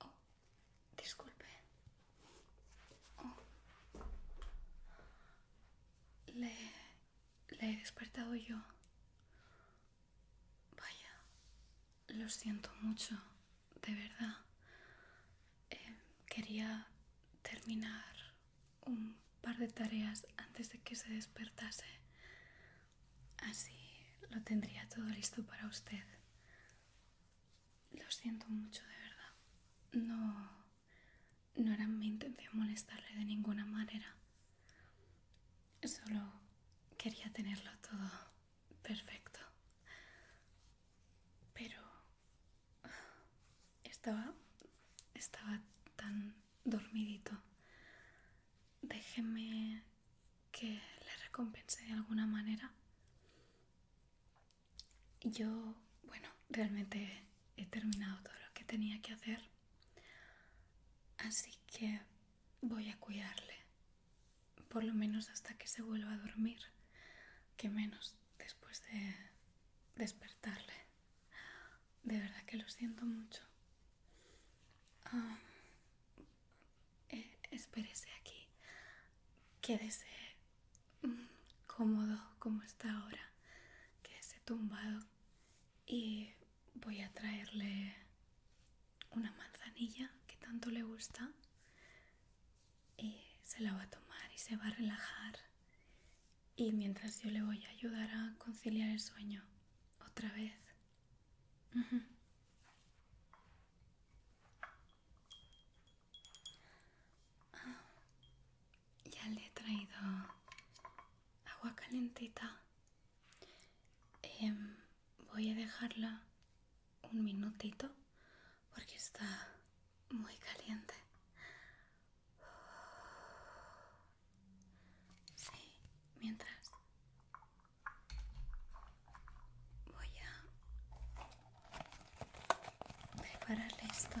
Oh, disculpe. Oh. Le, he despertado yo. Vaya, lo siento mucho, de verdad. Eh, quería terminar un par de tareas antes de que se despertase. Así lo tendría todo listo para usted. Lo siento mucho, de verdad. No no era mi intención molestarle de ninguna manera. Solo quería tenerlo todo perfecto. Pero estaba estaba tan dormidito. Déjeme que le recompense de alguna manera. Yo, bueno, realmente he terminado todo lo que tenía que hacer. Así que voy a cuidarle, por lo menos hasta que se vuelva a dormir, que menos después de despertarle. De verdad que lo siento mucho. Ah, eh, espérese aquí, quédese cómodo como está ahora, que se ha tumbado. Y voy a traerle una manzanilla que tanto le gusta y se la va a tomar y se va a relajar. Y mientras yo le voy a ayudar a conciliar el sueño otra vez. Ya le he traído agua calentita. Em, voy a dejarla un minutito porque está muy caliente. mientras voy a preparar esto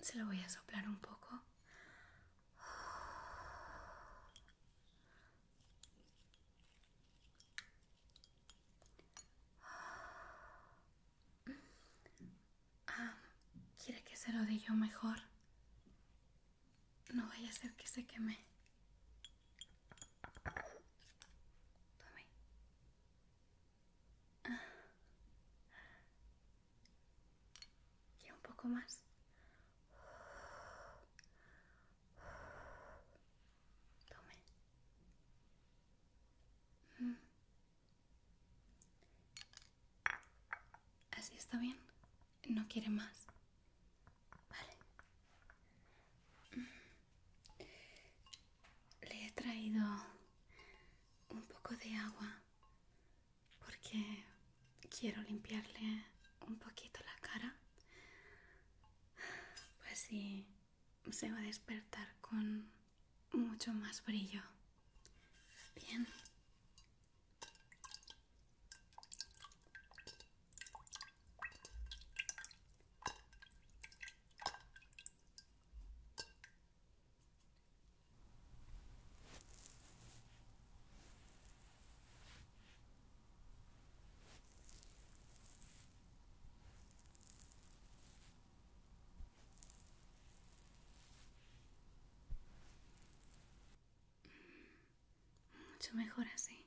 Se lo voy a soplar un poco. Ah, ¿Quiere que se lo dé yo mejor? No vaya a ser que se queme. Y un poco más. Tome. Mm. Así está bien. No quiere más. Vale le he traído un poco de agua porque quiero limpiarle un poquito la cara. Pues sí, se va a despertar con mucho más brillo. Bien. Mucho mejor así.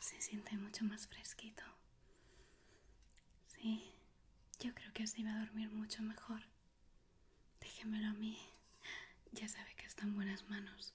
Se siente mucho más fresquito. Sí, yo creo que así va a dormir mucho mejor. Déjemelo a mí. Ya sabe que está en buenas manos.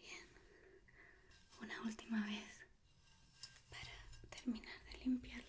Bien, una última vez para terminar de limpiarle.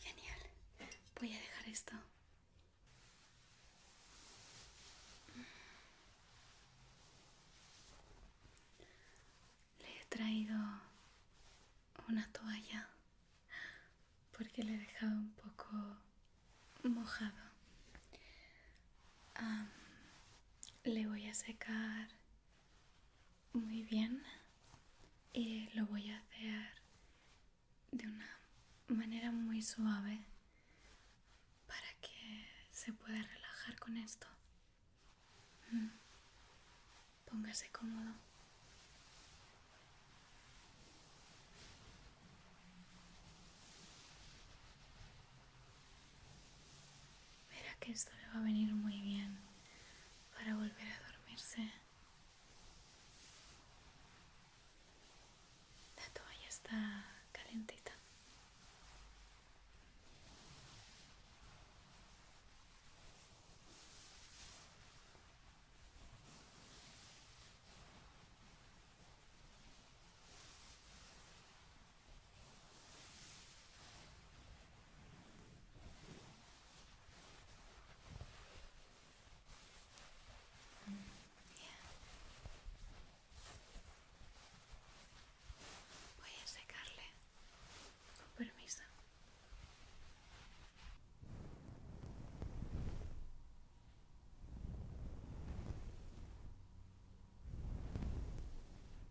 Genial. Voy a dejar esto. Le he traído una toalla porque le he dejado un poco mojado. le voy a secar muy bien. Y eh, lo voy a hacer de una manera muy suave para que se pueda relajar con esto. Mm. Póngase cómodo. Mira que esto le va a venir muy bien para volver a dormirse. La toalla está calentita. Voy a secarle. Con permiso.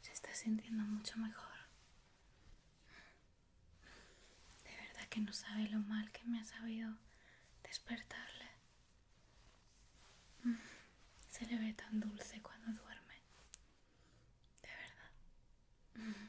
Se está sintiendo mucho mejor. De verdad que no sabe lo mal que me ha sabido despertarle. Mm, se le ve tan dulce cuando duerme. De verdad. Mm.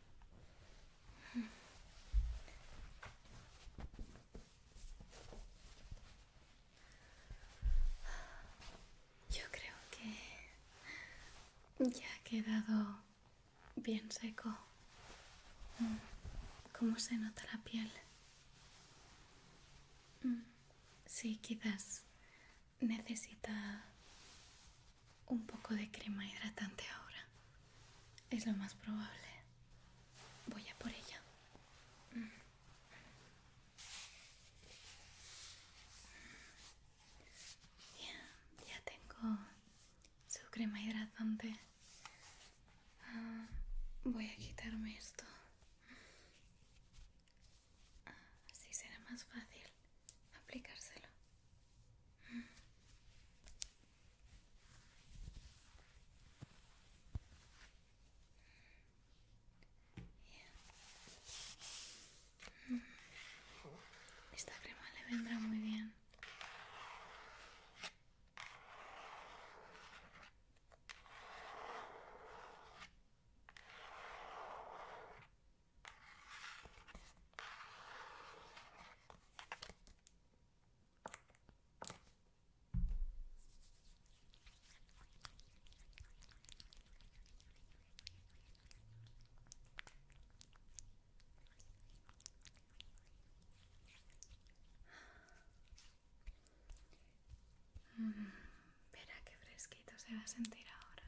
Yo creo que ya ha quedado bien seco. Mm, ¿Cómo se nota la piel? Mm, sí, quizás necesita un poco de crema hidratante ahora. Es lo más probable. Voy a por ella. Mm. ya tengo su crema hidratante. Ah, voy a quitarme esto. Ah, así será más fácil aplicárselo. Mm. Esta crema le vendrá muy bien. Verá mm, qué fresquito se va a sentir ahora.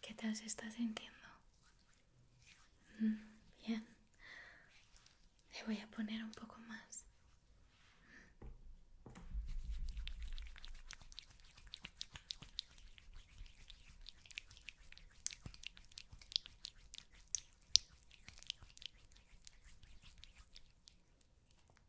¿Qué tal se está sintiendo? Mm, bien. Le voy a poner un poco más.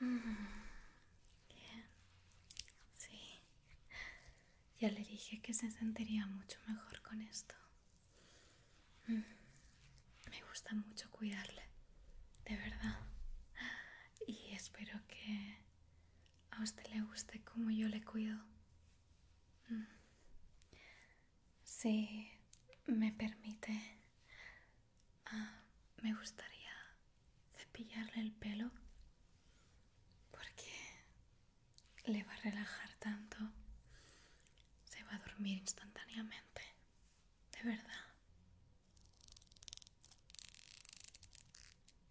Mm, bien. Sí. Ya le dije que se sentiría mucho mejor con esto. Mm, me gusta mucho cuidarle, de verdad. Y espero que a usted le guste como yo le cuido. Mm. Si me permite, ah, me gustaría cepillarle el pelo porque le va a relajar tanto. Se va a dormir instantáneamente. De verdad.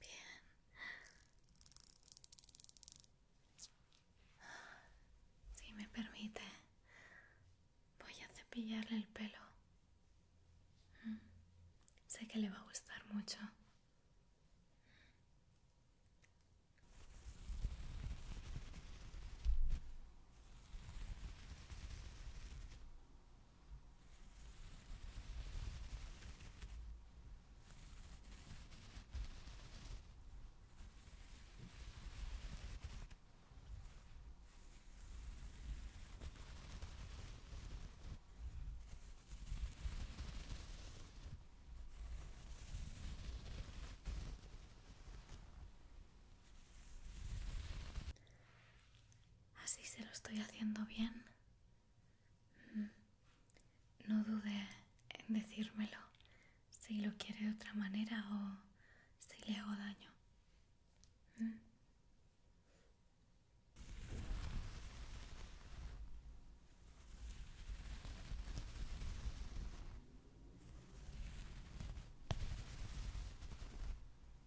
Bien. Si me permite, voy a cepillarle el pelo. Mm. Sé que le va a gustar mucho. Así se lo estoy haciendo bien. No dude en decírmelo si lo quiere de otra manera o si le hago daño.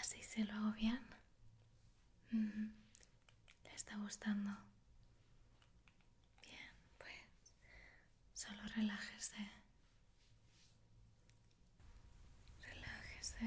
Así se lo hago bien. ¿Le está gustando? Bien, pues solo relájese. Relájese.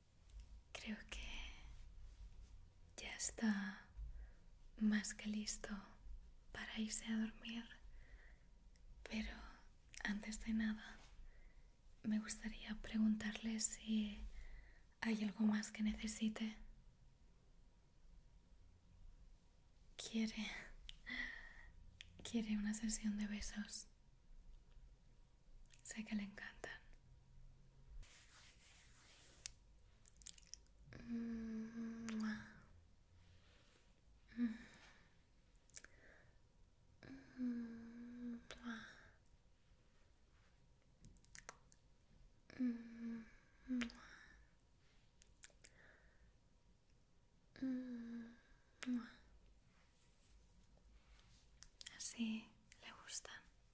Creo que ya está más que listo para irse a dormir, pero antes de nada me gustaría preguntarle si hay algo más que necesite. Quiere. Quiere una sesión de besos. Sé que le encantan. Así le gustan.